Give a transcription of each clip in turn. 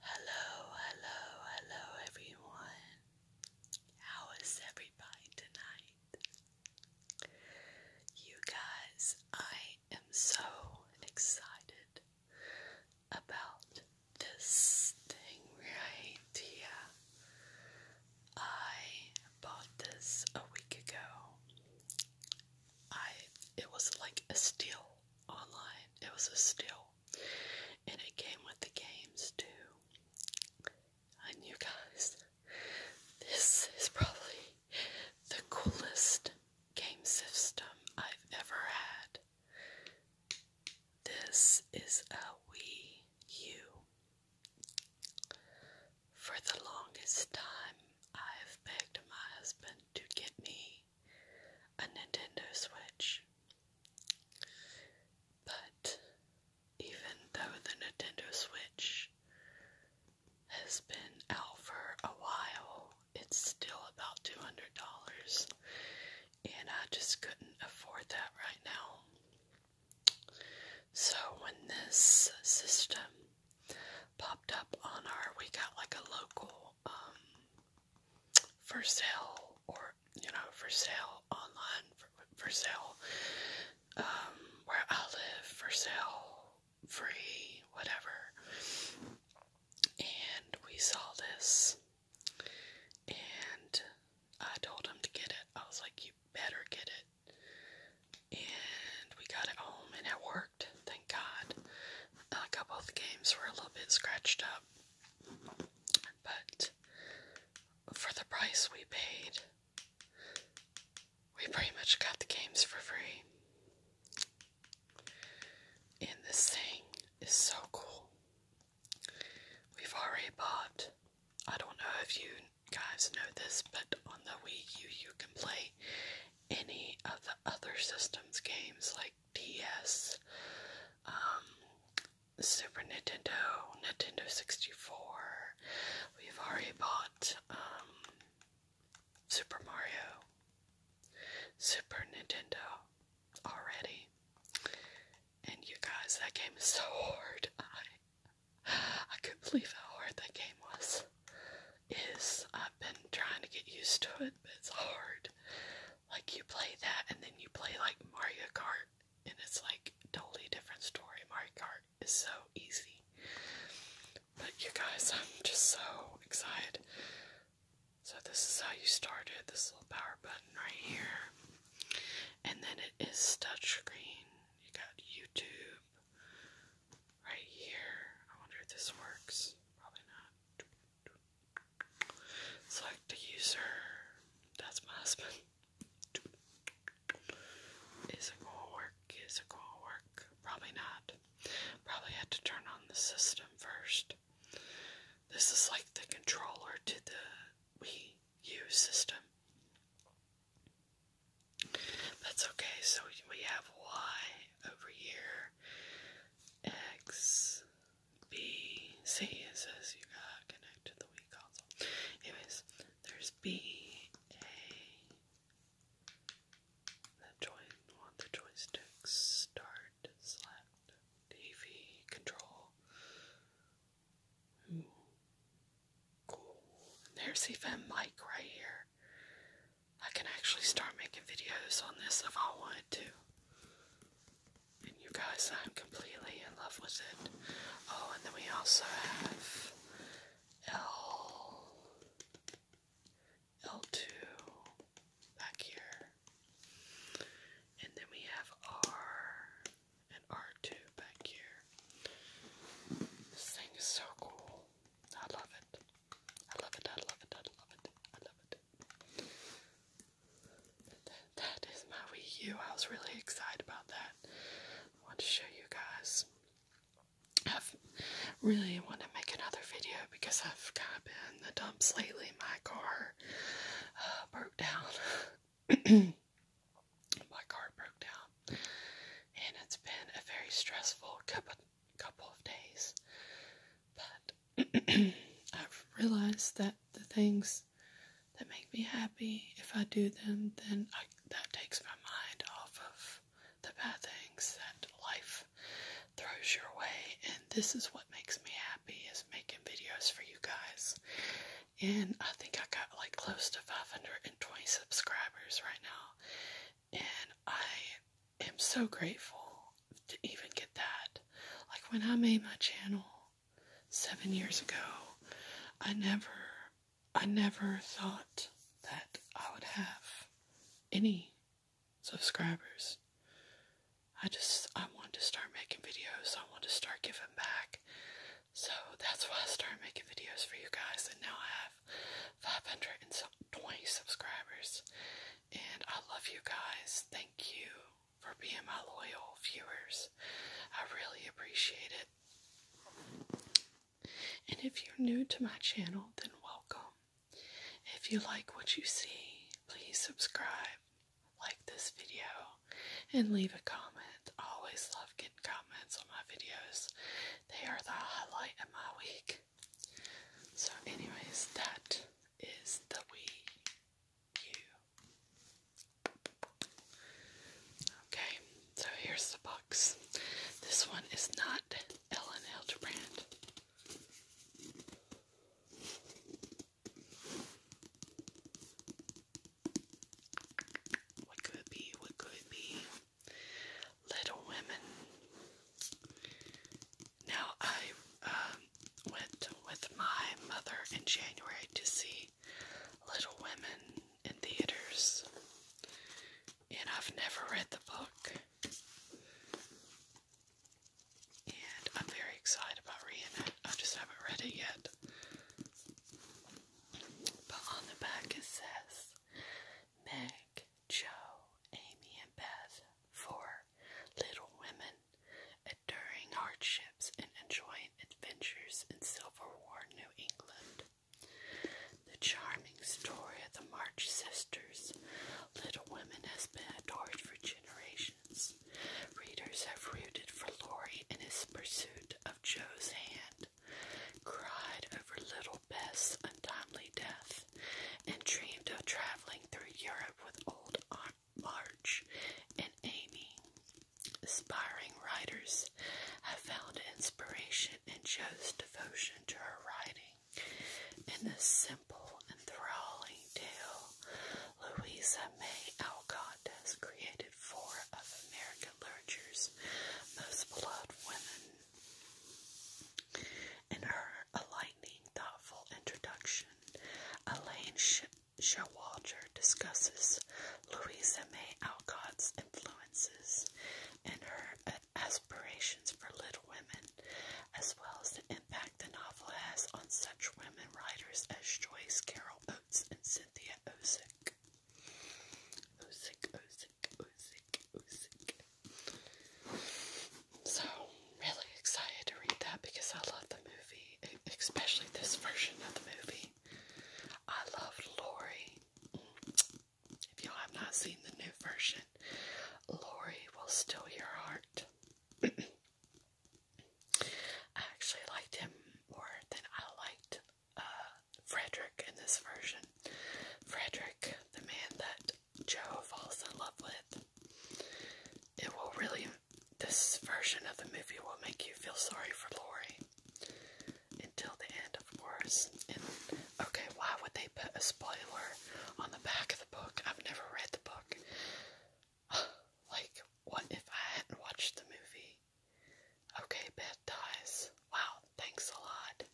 Hello, hello, hello everyone. How is everybody tonight? You guys, I am so excited about this thing right here. I bought this a week ago. I it was like a steal online. It was a steal. And it came with the games too. And you guys, this is probably the coolest game system I've ever had. This is a Wii U. For the longest time, I've begged my husband to get me a Nintendo Switch. But even though the Nintendo Switch has been out for a while, it's still about $200, and I just couldn't afford that right now. So when this system popped up on our, we got like a local um, for sale or you know for sale online for, for sale um, where I live for sale free whatever and we saw this and I told him to get it I was like you better get it and we got it home and it worked thank God. A couple of the games were a little bit scratched up, but for the price we paid, we pretty much got the games for free. And this thing is so cool. We've already bought, I don't know if you guys know this, but on the Wii U, you can play any of the other systems games like DS, um, Super Nintendo, Nintendo 64. We've already bought um, Super Mario, Super Nintendo already. And you guys, that game is so hard. I I couldn't believe how hard that game was is I've been trying to get used to it, but it's hard. Like you play that and then you play like Mario Kart and it's like totally different story. Mario Kart is so easy. But you guys, I'm just so excited. So this is how you start this little power button right here. And then it is touchscreen. You got YouTube right here. I wonder if this works. Probably not. It's like the user. That's my husband. Is it gonna work? Is it gonna work? Probably not. Probably had to turn on the system first. This is like the controller to the Wii U system. That's okay, so we have Y over here, X B C it says you gotta connect to the Wii console. Anyways, there's B A the join want the joystick start select TV control. Ooh. Cool. And there's even Mike right here. I can actually start making videos on this if I wanted to. And you guys, I'm completely in love with it. Oh, and then we also have L, L2 back here. And then we have R and R2 back here. This thing is so cool. I love it. I love it. I love it. I love it. I love it that is my Wii U. I was really excited about that. I want to show you guys. I've really want to make another video because I've kind of been in the dumps lately. My car uh, broke down. my car broke down, and it's been a very stressful couple couple of days, but I've realized that the things that make me happy, if I do them, then that takes my mind off of the bad things that life throws your way. And this is what makes me happy is making videos for you guys. And I think I got like close to 520 subscribers right now. And I am so grateful to even get that. Like when I made my channel seven years ago, I never, I never thought that I would have any subscribers. I just, I wanted to start making videos. I wanted to start giving back. So that's why I started making videos for you guys. And now I have 520 subscribers. And I love you guys. Thank you for being my loyal viewers. I really appreciate it. And if you're new to my channel, then welcome. If you like what you see, please subscribe, like this video, and leave a comment. I always love getting comments on my videos. They are the highlight of my week. So, anyways, that is the Wii U. Okay, so here's the box. This one is not Ellen Hildebrand. What could be? What could be? Little Women. Now, I um, went with my mother in January to see Little Women in theaters, and I've never read the book. And I'm very excited about reading it. I just haven't read it yet. But on the back it says Meg, Jo, Amy, and Beth for Little Women, enduring hardships and enjoying adventures in Civil War New England. The charming story of the March sisters, Little Women, has been adored for generations. Readers have rooted for Laurie in his pursuit of Jo's hand, cried over Little Beth's untimely death, and dreamed of traveling through Europe with old Aunt March and Amy. Aspiring writers have found inspiration in Joe's devotion to her writing. In this simple, enthralling tale, Louisa May Alcott has created four of American literature's most beloved women. In her A enlightening, thoughtful introduction, Elaine Showalter discusses Louisa May Alcott's influences and her uh, aspirations for Little Women, as well as the impact the novel has on such women writers as Joyce Carol Oates and Cynthia Ozick. So, really excited to read that because I love the movie, especially this version of the movie. I love Lori. If y'all have not seen the new version, Lori will steal your heart. I actually liked him more than I liked uh, Frederick in this version. Frederick, the man that Joe falls in love with. It will really, this version of the movie will make you feel sorry for Lori. Until the end, of course. And, okay, why would they put a spoiler on the back of the book? I've never read the book. like, what if I hadn't watched the movie? Okay, Beth dies. Wow, thanks a lot.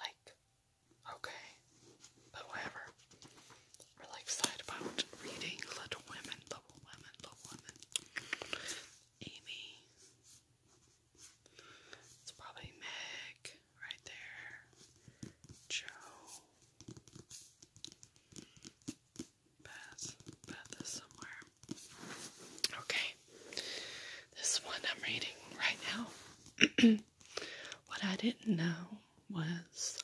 Like, okay, but whatever. we excited about reading Little Women, Little Women, Little Women. Amy. It's probably Meg right there. Joe. Beth. Beth is somewhere. Okay. This one I'm reading right now. what I didn't know was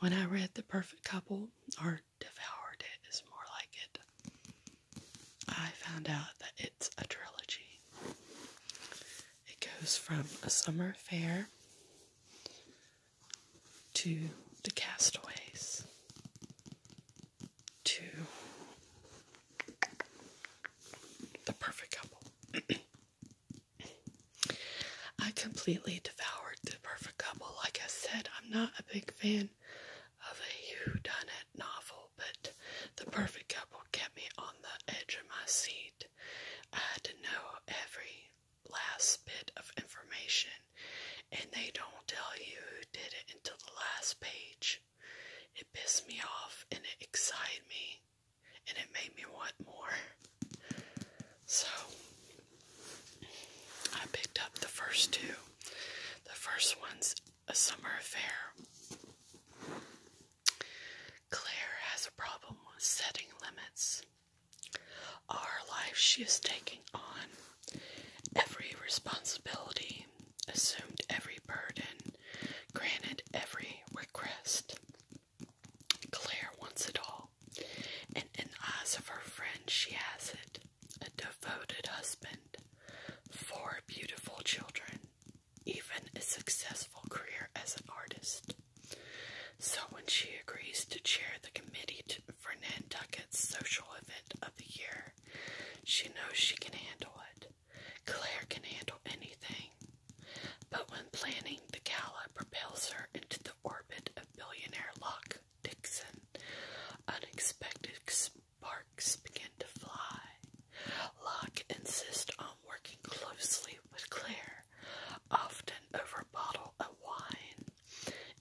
when I read The Perfect Couple, or Devoured It is more like it, I found out that it's a trilogy. It goes from a summer fair to the castaways to the perfect couple. I completely devoured the perfect couple. Like I said, I'm not a big fan of a whodunit novel, but the perfect couple kept me on the edge of my seat. I had to know every last bit of information, and they don't tell you who did it until the last page. It pissed me off and it excited me and it made me want more. So I picked up the first two. The first one's A Summer Affair. Claire has a problem with setting limits. Our life she is taking on every responsibility, assumed every burden, granted every request. Claire wants it all, and in the eyes of her friends, she has it a devoted husband, four beautiful children, even a successful career as an artist. So, when she agrees to chair the committee for Nantucket's social event of the year, she knows she can handle it. Claire can handle anything, but when planning the gala propels her into the orbit of billionaire Locke Dixon, unexpected sparks begin to fly. Locke insists on working closely with Claire, often over a bottle of wine,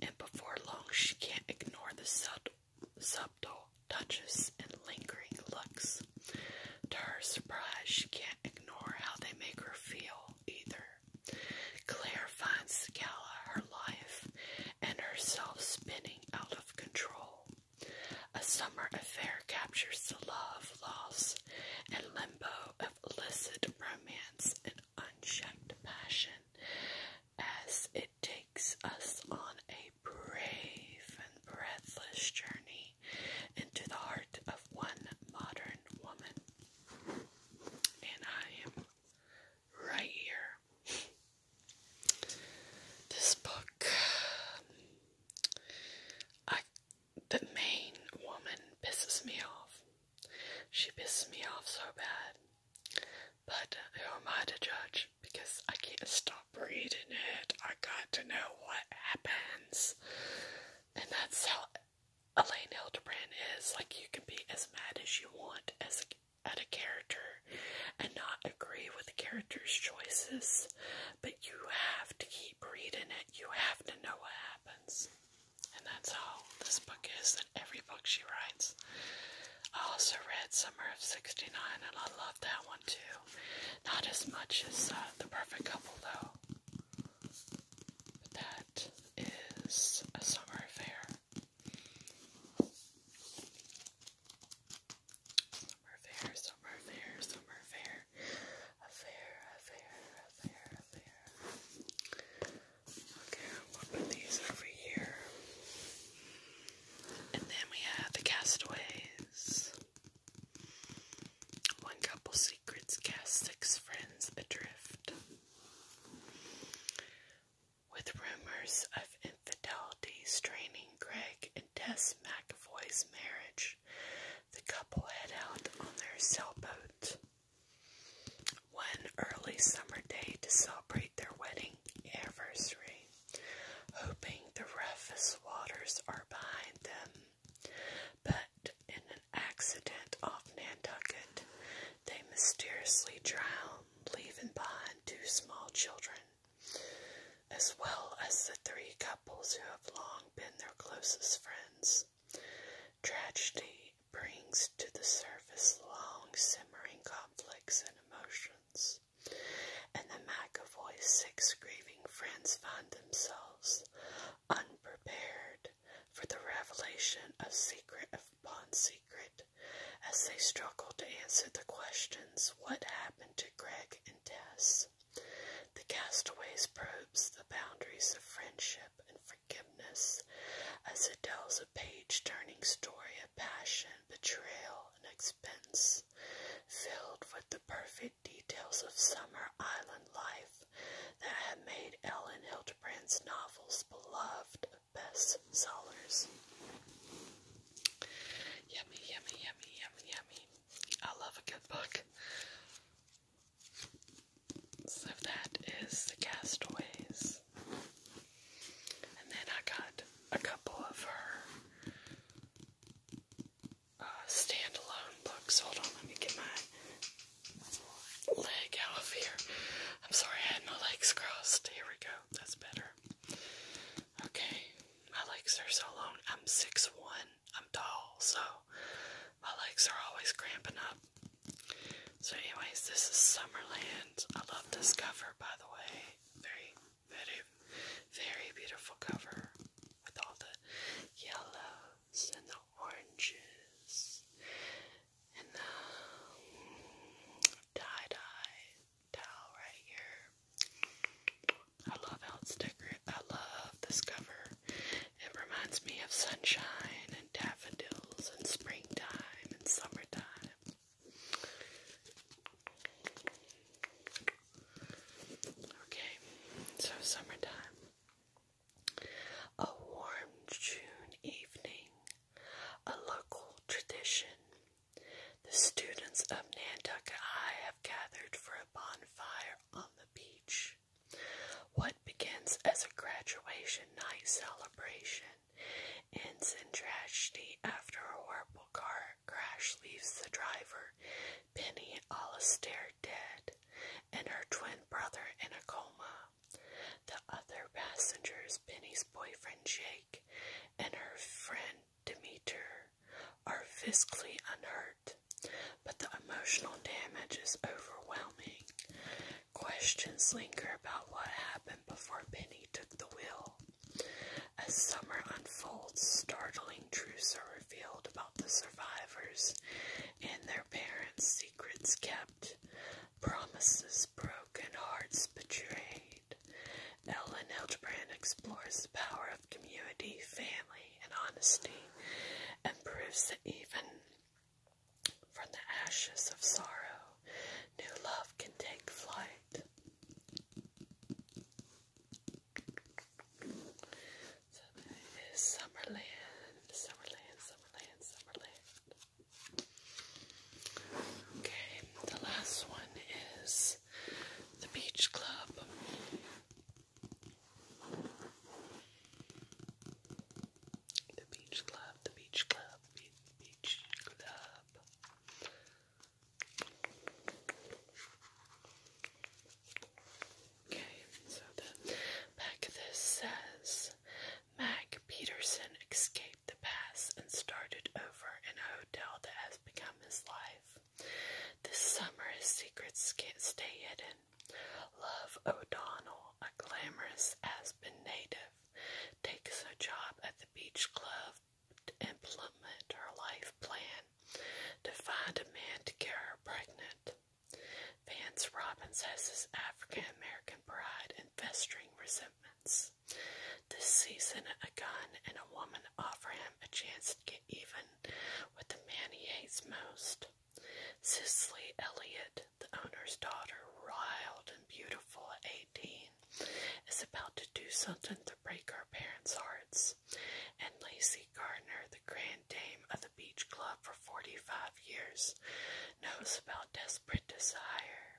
and before long she can't ignore the subtle touches, and lingering looks. To her surprise, she can't ignore how they make her feel either. Claire finds Scala, her life, and herself spinning out of control. A summer affair captures the love, loss, and limbo of illicit romance and unchecked passion as it takes us on a brave and breathless journey into the heart of one modern woman. And I am right here. This book, I, the main woman pisses me off. She pisses me off so bad. But who am I to judge? Because I can't stop Reading it. I got to know what happens. And that's how Elaine Hildebrand is. Like, you can be as mad as you want as at a character and not agree with the character's choices, but you have to keep reading it. You have to know what happens. And that's how this book is, and every book she writes. I also read Summer of 69, and I love that one too. Not as much as uh, The Perfect Couple though. that is a summer affair. Summer affair, summer affair, summer affair. Affair, affair, affair, affair. Okay, I'll these over here. And then we have the castaways. One couple secrets cast six friends adrift. With rumors of infidelity straining Greg and Tess McAvoy's marriage, the couple head out on their sailboat one early summer day to celebrate their wedding anniversary hoping the roughest waters are behind them. But in an accident off Nantucket, they mysteriously drown, leaving behind two small children, as well as the three couples who have long been their closest friends. Tragedy brings to the surface long simmering conflicts and emotions. Brothers, and the McAvoy six grieving friends found themselves unprepared for the revelation of secret upon secret as they struggled to answer the questions what happened to Greg and Tess. The Castaways probes the boundaries of friendship and forgiveness as it tells a page turning story of passion, betrayal, and expense filled with the perfect details of summer island life that have made Ellen Hildebrand's novels beloved bestsellers. Yummy, yummy, yummy, yummy, yummy. I love a good book. So that is The Castaways. And then I got a couple of her uh, standalone books. Hold on, let me get my leg out of here. I'm sorry, I had my legs crossed. Here we go. That's better. Okay, my legs are so long. I'm six one. I'm tall, so my legs are always cramping up. So, anyways, this is Summerland. I love this cover, by the way. Very very, very beautiful cover with all the yellows and the oranges and the tie dye towel right here. I love how it's decorated. I love this cover. It reminds me of sunshine and daffodils and springtime and summertime. Okay, so summertime. A warm June evening, a local tradition. The students of Nantucket have gathered for a bonfire on the beach. What begins as a graduation night celebration ends in tragedy after a horrible car crash leaves the driver, Penny Alastair, dead, and her twin brother in a coma. The other passengers, Penny's boyfriend Jake and her friend Demeter, are physically unhurt, but the emotional damage is overwhelming. Questions linger about what happened before Penny took the wheel. As summer unfolds, startling truths are revealed about the survivors and their parents, secrets kept, promises broken, hearts betrayed. Ellen Hildebrand explores the power of community, family, and honesty, and proves that even from the ashes of sorrow, new love can take flight. So there is Summerland, Summerland, Summerland, Summerland. Okay, the last one is the Beach Club. The Beach Club, the Beach Club, Beach Club. Okay, so the back of this says Mac Peterson escaped the past and started over in a hotel that has become his life. This summer, his secrets can't stay hidden. Love O'Donnell, a glamorous Aspen native, takes a job at the beach club implement her life plan to find a man to get her pregnant. Vance Robbins has his African American pride and festering resentments. This season, a gun and a woman offer him a chance to get even with the man he hates most. Cicely Elliott, the owner's daughter, riled and beautiful at 18, is about to do something to break our parents' hearts, and Lacey Gardner, the grand dame of the beach club for 45 years, knows about desperate desire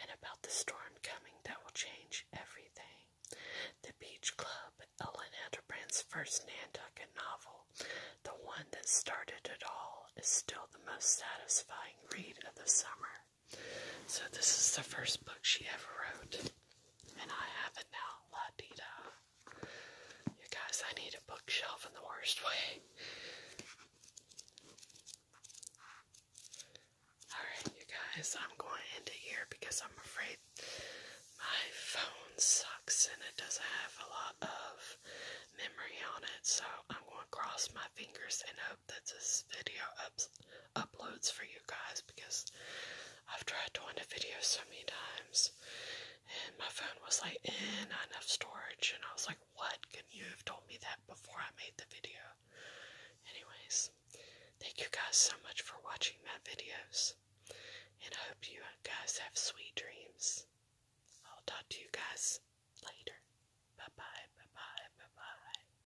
and about the storm coming that will change everything. The Beach Club, Ellen Edbrand's first Nantucket novel, the one that started it all, is still the most satisfying read of the summer. So this is the first book she ever wrote. And I have it now, La You guys, I need a bookshelf in the worst way. Alright, you guys, I'm going to end it here because I'm afraid my phone sucks and it doesn't have a lot of memory on it. So I'm going to cross my fingers and hope that this video uploads for you guys because I've tried doing a video so many times and my phone was like, "In enough storage. And I was like, what? Can you have told me that before I made the video? Anyways, thank you guys so much for watching my videos. And I hope you guys have sweet dreams. I'll talk to you guys later. Bye bye, bye bye, bye bye.